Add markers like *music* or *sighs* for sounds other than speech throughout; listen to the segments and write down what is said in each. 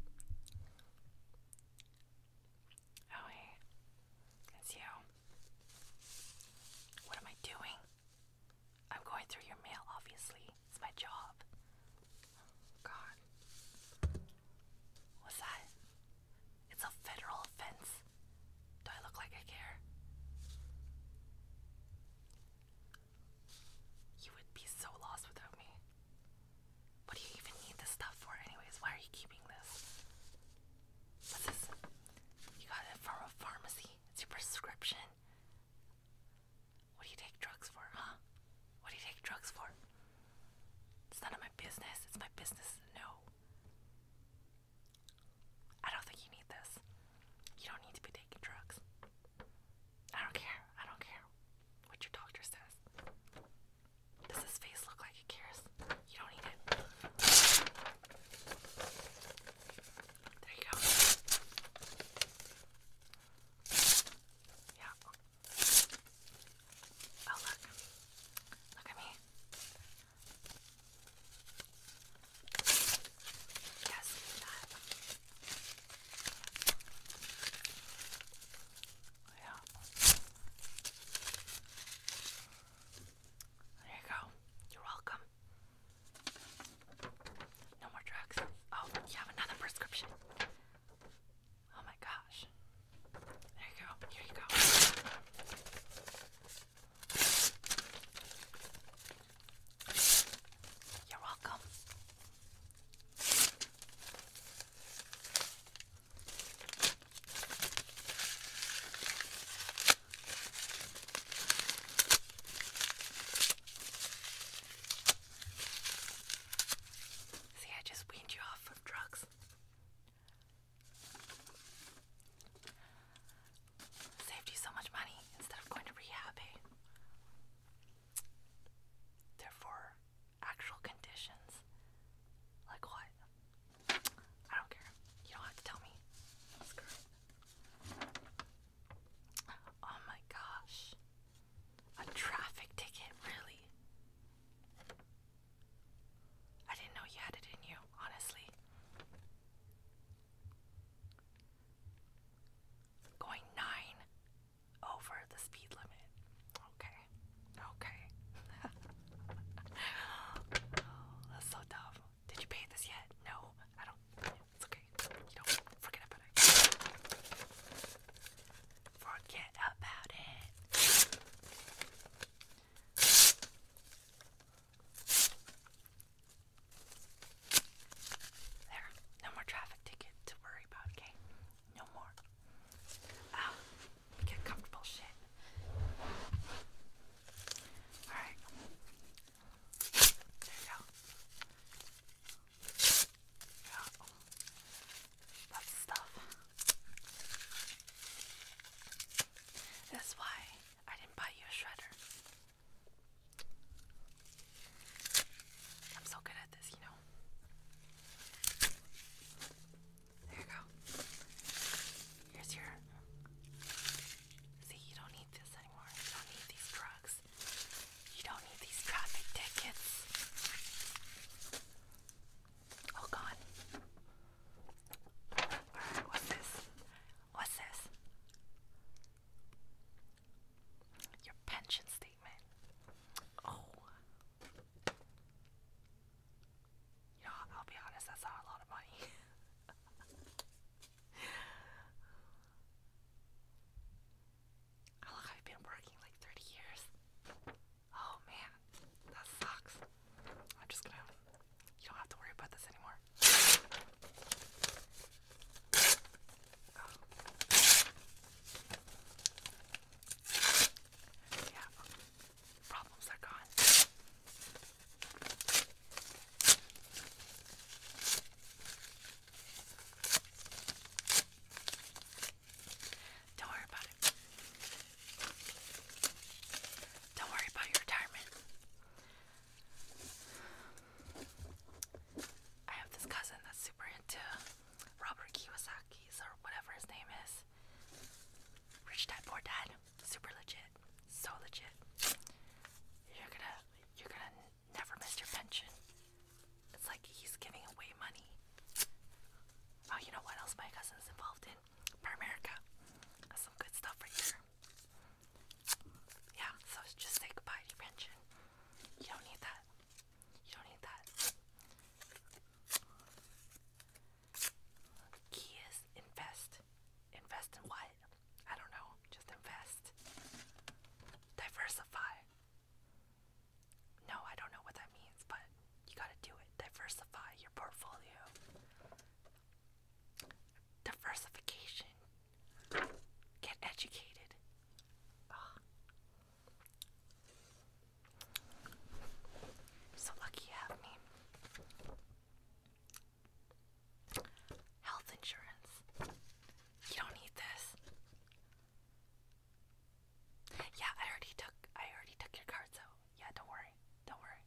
Oh, hey, it's you. What am I doing? I'm going through your mail, obviously. It's my job. Oh, God. What's that? It's a federal offense. Do I look like I care? You would be so lost without me. What do you even need this stuff for, anyways? Why are you keeping this? What's this? You got it from a pharmacy. It's your prescription. What do you take drugs for, huh? What do you take drugs for? It's none of my business. It's my business No. I don't think you need this. You don't need to be taking drugs. I don't care. I don't care what your doctor says. Does his face look like it cares? You don't need it. There you go. Yeah. Oh, look. Look at me. Yes, there you go. You're welcome. No more drugs. Oh, you have another prescription. Oh my gosh. There you go. Here you go. You're welcome. See, I just weaned you off of drugs. Saved you so much money instead of going to rehab, eh? Therefore, actual conditions. Like what? I don't care. You don't have to tell me. Oh my gosh. A traffic ticket, really? I didn't know you had it in you, honestly. Going nine over the speed limit. Okay. Okay. *laughs* That's so dumb. Did you pay this yet? No, I don't. It's okay. You don't forget about it. Forget about it. There, no more traffic ticket to worry about, okay? No more. Ah, get comfortable shit. Alright. There you go. Yeah. stuff. That's why I didn't buy you a shredder. I'm so good at this, you know. There you go. Here's your. See, you don't need this anymore. You don't need these drugs. You don't need these traffic tickets. Oh God. what's this? What's this? Your pension statement statement. Oh. Yeah, I'll be honest, that's not a lot of money. *laughs* look, I've been working like 30 years. Oh man, that sucks. I'm just gonna. You don't have to worry about this anymore. Oh. Yeah, problems are gone. Don't worry about it. Don't worry about your retirement. I have this cousin that's super into Robert Kiyosaki's or whatever his name is. Rich Dad Poor Dad, super legit, so legit. You're gonna, you're gonna never miss your pension. It's like he's giving away money. Oh, you know what else my cousin's involved in? Primerica. some good stuff right there. Yeah, so just say goodbye to your pension. You don't need that. You don't need that. Key is invest. Invest in what? I don't know. Just invest. Diversify. No, I don't know what that means, but you gotta do it. Diversify your portfolio. Diversification. Get educated. So lucky you have me. Health insurance. You don't need this. Yeah, I already took I already took your card, so yeah, don't worry. Don't worry.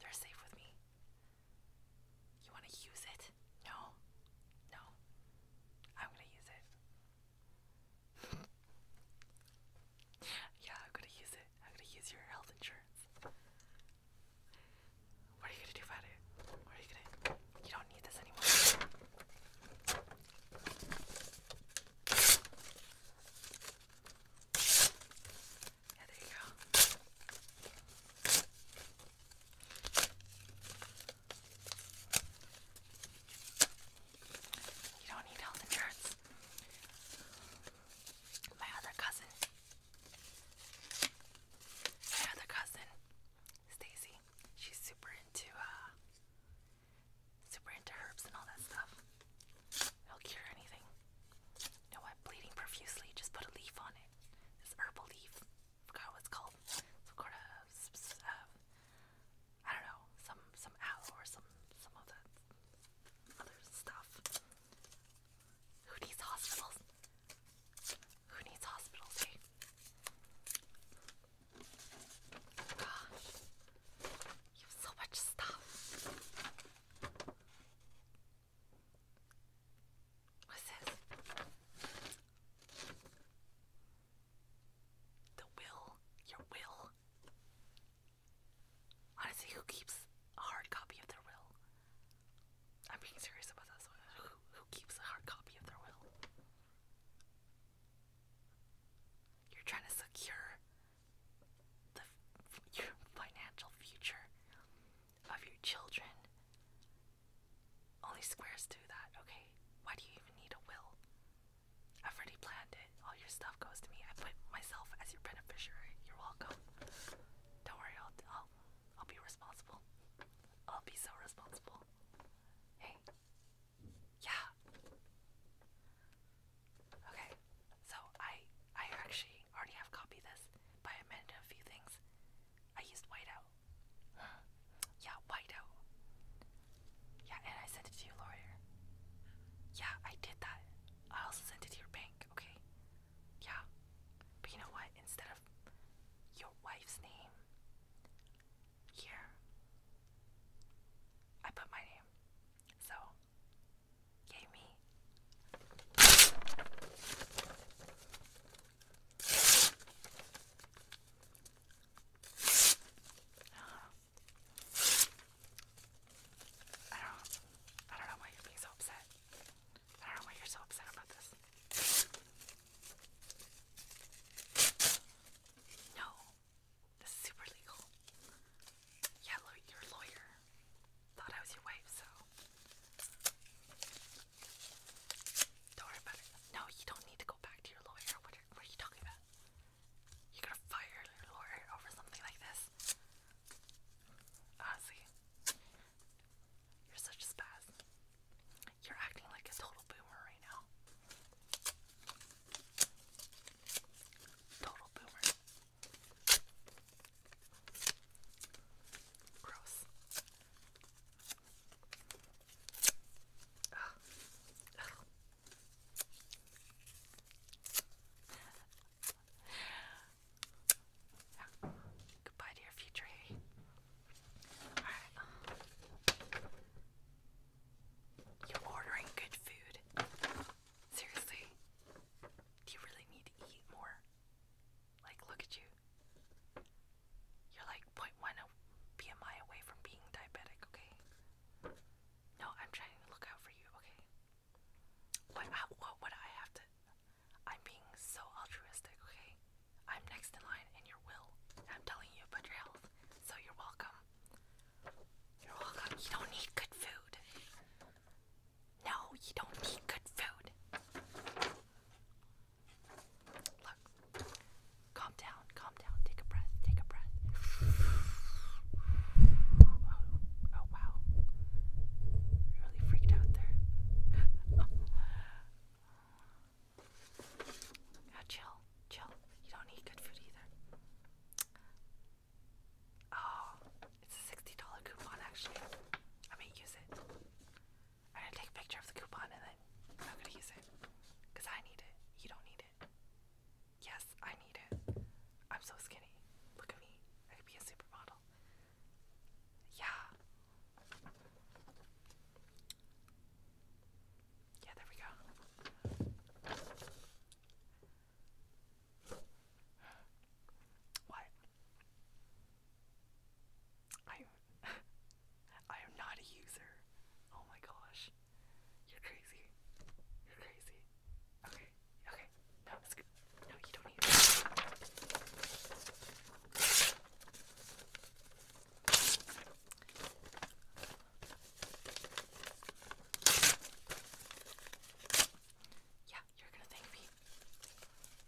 They're safe with me. You want to use it? No. No. I'm going to use it. *laughs* yeah, I'm going to use it. I'm going to use your health insurance. What are you going to do about it? What are you going to You don't need this anymore. there you go. You don't need health insurance. My other cousin, my other cousin, Stacy, she's super into uh, super into herbs and all that stuff. It'll cure anything. know what? Bleeding profusely, just put a leaf on it. This herbal leaf forgot what called. Some sort of, I don't know, some some aloe or some some of that other stuff. Who needs hospitals? Who needs hospitals? Eh? Gosh, you have so much stuff. What's this? The will, your will. Honestly, who keeps a hard copy of their will? I'm being serious about this one. Who, who keeps a hard copy of their will? You're trying to secure the your financial future of your children. Only squares do that, okay? Why do you even need a will? I've already planned it. All your stuff goes to me. I put myself as your beneficiary. You're welcome. Don't worry, I'll, I'll be responsible. I'll be so responsible. Hey. Yeah. Okay. So I I actually already have copied this, but I amended a few things. I used whiteout. yeah, whiteout. Yeah, and I sent it to your lawyer. Yeah, I did that. I also sent it to your bank, okay? Yeah. But you know what? Instead of your wife's name, here, I put my name. So, yay me. I don't I don't know why you're being so upset. I don't know why you're so upset about this. No. This is super legal. Yeah, your lawyer thought I was your wife, so don't worry about it. No, you don't need to go back to your lawyer. What are, you talking about? You're gonna fire your lawyer over something like this? Honestly, ah, you're such a spaz. You're acting like a total boomer right now. Total boomer. Gross. Oh. Goodbye to your future um, You're ordering good food. Seriously? Do you really need to eat more? Like, look at you. You're like 0.1 BMI oh away from being diabetic, okay? No, I'm trying to look out for you, okay? What, how, what I have to? I'm being so altruistic, okay? I'm next in line in your will. I'm telling you about your health, so you're welcome. You're welcome. You don't need good food. No, you don't need good food. Look. Calm down, calm down. Take a breath, take a breath. Oh, oh wow. Really freaked out there. *laughs* chill, chill. You don't need good food either. Oh, it's a $60 coupon actually. I may use it. I'm gonna take a picture of the coupon and then I'm gonna use it. Because I need it. You don't need it. Yes, I need it. I'm so skinny. Look at me. I could be a supermodel. Yeah. Yeah, there we go. What? I *laughs* I am not a user. Oh my gosh. You're crazy. You're crazy. Okay. Okay. No, it's good. No, you don't need Yeah, you're gonna thank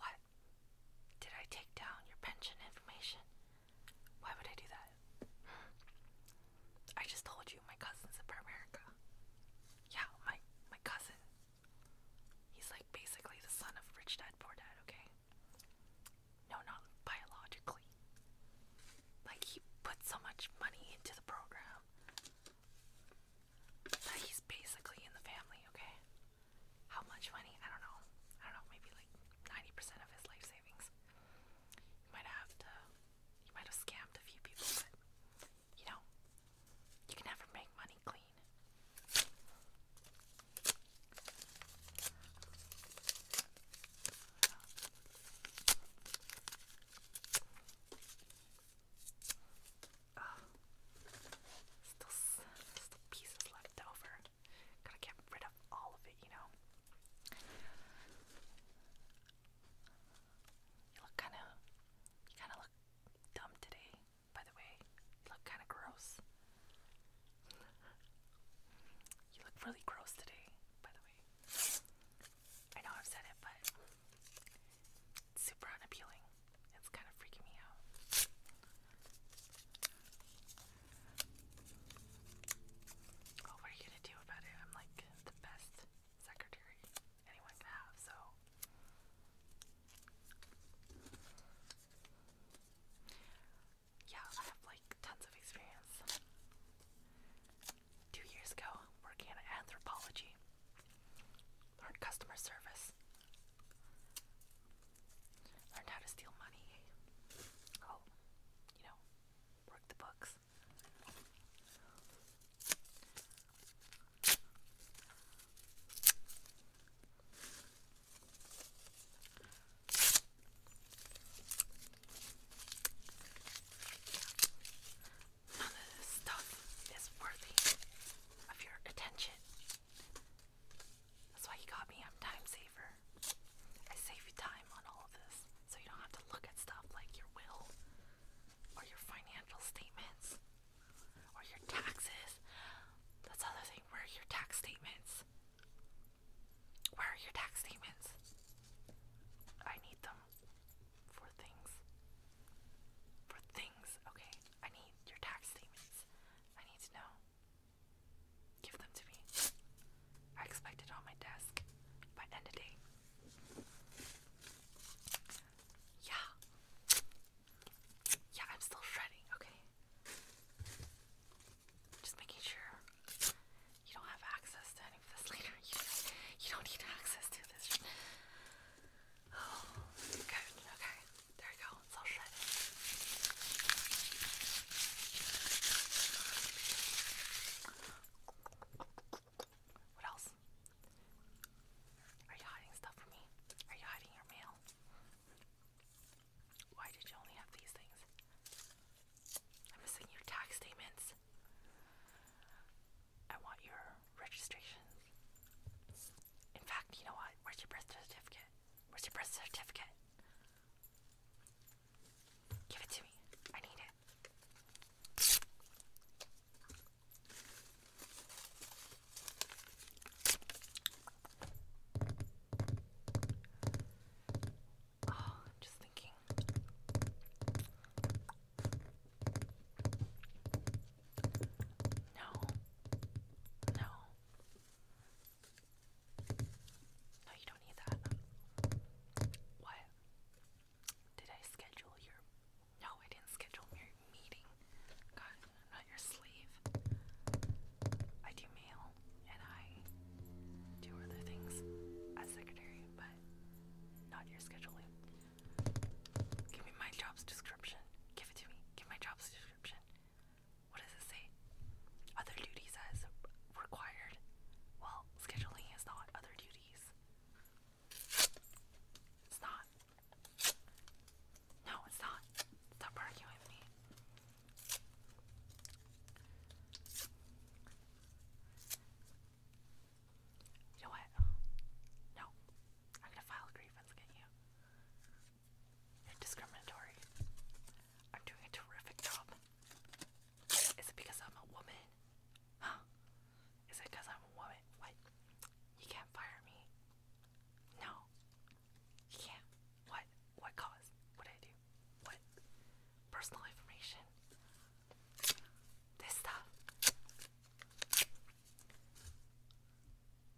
What? Did I take down your pension information? Why would I do that? I just told you my cousin's in America. Yeah, my my cousin. He's like basically the son of rich dad, poor dad, okay? No, not biologically. Like, he put so much money into the program that he's basically in the family, okay? How much money? I don't know. I don't know, maybe like 90% of his life savings. He might have to, he might have scammed a few people, but you know, you can never make money clean still, still pieces left over. Gotta get rid of all of it, you know. You look kind of, you kind of look dumb today. By the way, you look kind of gross. You look really gross today, by the way. I know I've said it, but it's super unappealing. It's kind of freaking me out. what are you gonna do about it? I'm like the best secretary anyone can have, so yeah, I have like tons of experience. Two years ago, working in anthropology, learned customer service, learned how to steal money. Oh, you know, work the books. None of this stuff is worthy of your attention. That's why you got me. I'm time saver. I save you time on all of this so you don't have to look at stuff like your will or your financial statements or your taxes. That's the other thing. Where your tax statements? Where are your tax statements? I need them for things. For things, okay. I need your tax statements. I need to know. Give them to me. I expect on my desk by end of day. Yeah. Yeah, I'm still shredding, okay? Just making sure you don't have access to any of this later. You don't, need access to this. Oh, Okay, there you go. It's all shredded. What else? Are you hiding stuff from me? Are you hiding your mail? Why did you only have these things? I'm missing your tax statements. I want your registrations. In fact, you know what? Where's your birth certificate? Where's your birth certificate? Give it to me. I need it. Oh, i just thinking. No. No. No, you don't need that. What? Did I schedule your. No, I didn't schedule your meeting. God, not your sleeve. I do mail and I do other things as secretary, but not your scheduling. Give me my job's description. Give it to me. Give my job's description. What does it say? Other duties as required. Well, scheduling is not other duties. It's not. No, it's not. Stop arguing with me. You know what? No. I'm gonna file a against you. You're discriminatory. I'm doing a terrific job. Is it because I'm a woman? Huh? Is it because I'm a woman? What? You can't fire me. No. Yeah. What? What cause? What did I do? What? Personal information. This stuff.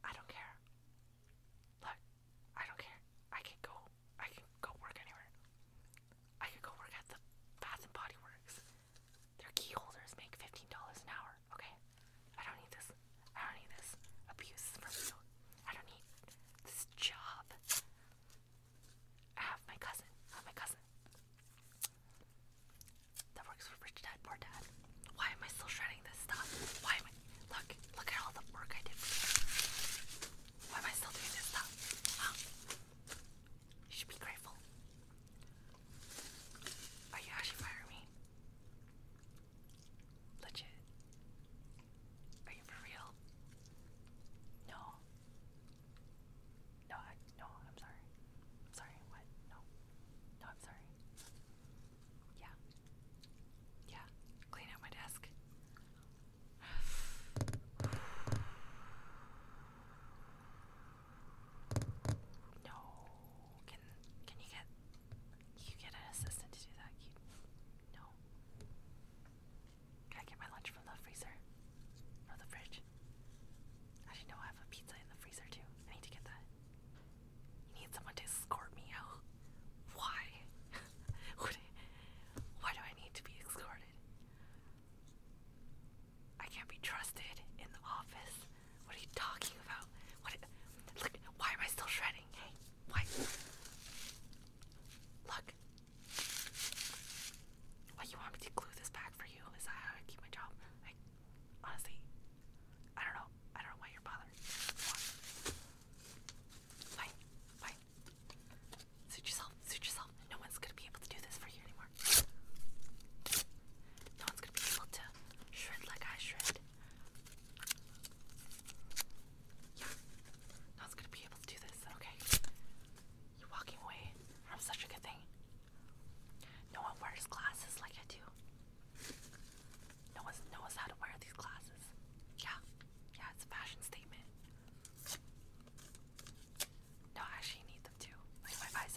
I don't care. Look, I don't care. I can go. I can go work anywhere. I could go work at the Bath and Body Works. Their key make fifteen dollars an hour. Okay, I don't need this. I don't need this abuse I don't need this job. I have my cousin. my cousin that works for Rich Dad Poor Dad. Why am I still shredding this stuff? Why am I? Look, look at all the work I did Why am I still doing this stuff? You should be grateful. Are you actually firing me? Legit. Are you for real? No. No, no, I'm sorry. sorry, what? No. No, I'm sorry. Yeah. Yeah. Clean out my desk. *sighs* No. Can can you get you get an assistant to do that? No. Can I get my lunch from the freezer? Or the fridge? Actually, no, I have a pizza in the freezer too. I need to get that. You need someone to escort me out. Why? *laughs* Would why do I need to be escorted? I can't be trusted in the office. What are you talking about? What? Look, why am I still shredding? Hey, why? Look. What, you want me to glue this back for you? Is that how I keep my job? Like, honestly, I don't know. I don't know why you're bothered. Why? Why? Suit yourself. Suit yourself. No one's gonna be able to do this for you anymore. No one's gonna be able to shred like I shred. Yeah. I was gonna be able to do this. Okay. You walking away from such a good thing. No one wears glasses like I do. No one knows how to wear these glasses. Yeah. Yeah, it's a fashion statement. No, I actually need them too. Like my eyes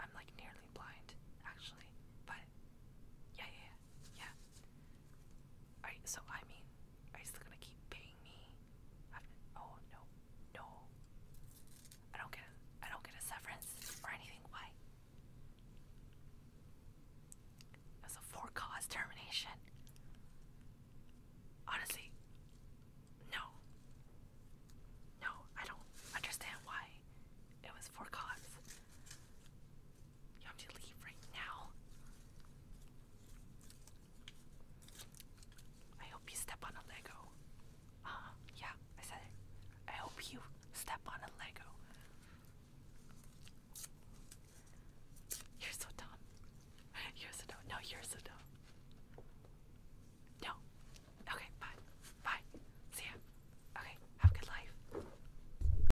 I'm like nearly blind, actually. But yeah, yeah, yeah. Are so I mean, are you still gonna keep paying me? oh no, no. I don't get a, I don't get a severance or anything. Why? It was a for-cause termination. Honestly, no. No, I don't understand why it was for cause. You have to leave right now. I hope you step on a Lego. Uh, yeah, I said I hope you step on a Lego. You're so dumb. You're so dumb. No, you're so dumb. No. Okay, bye. Bye. See ya. Okay, have a good life.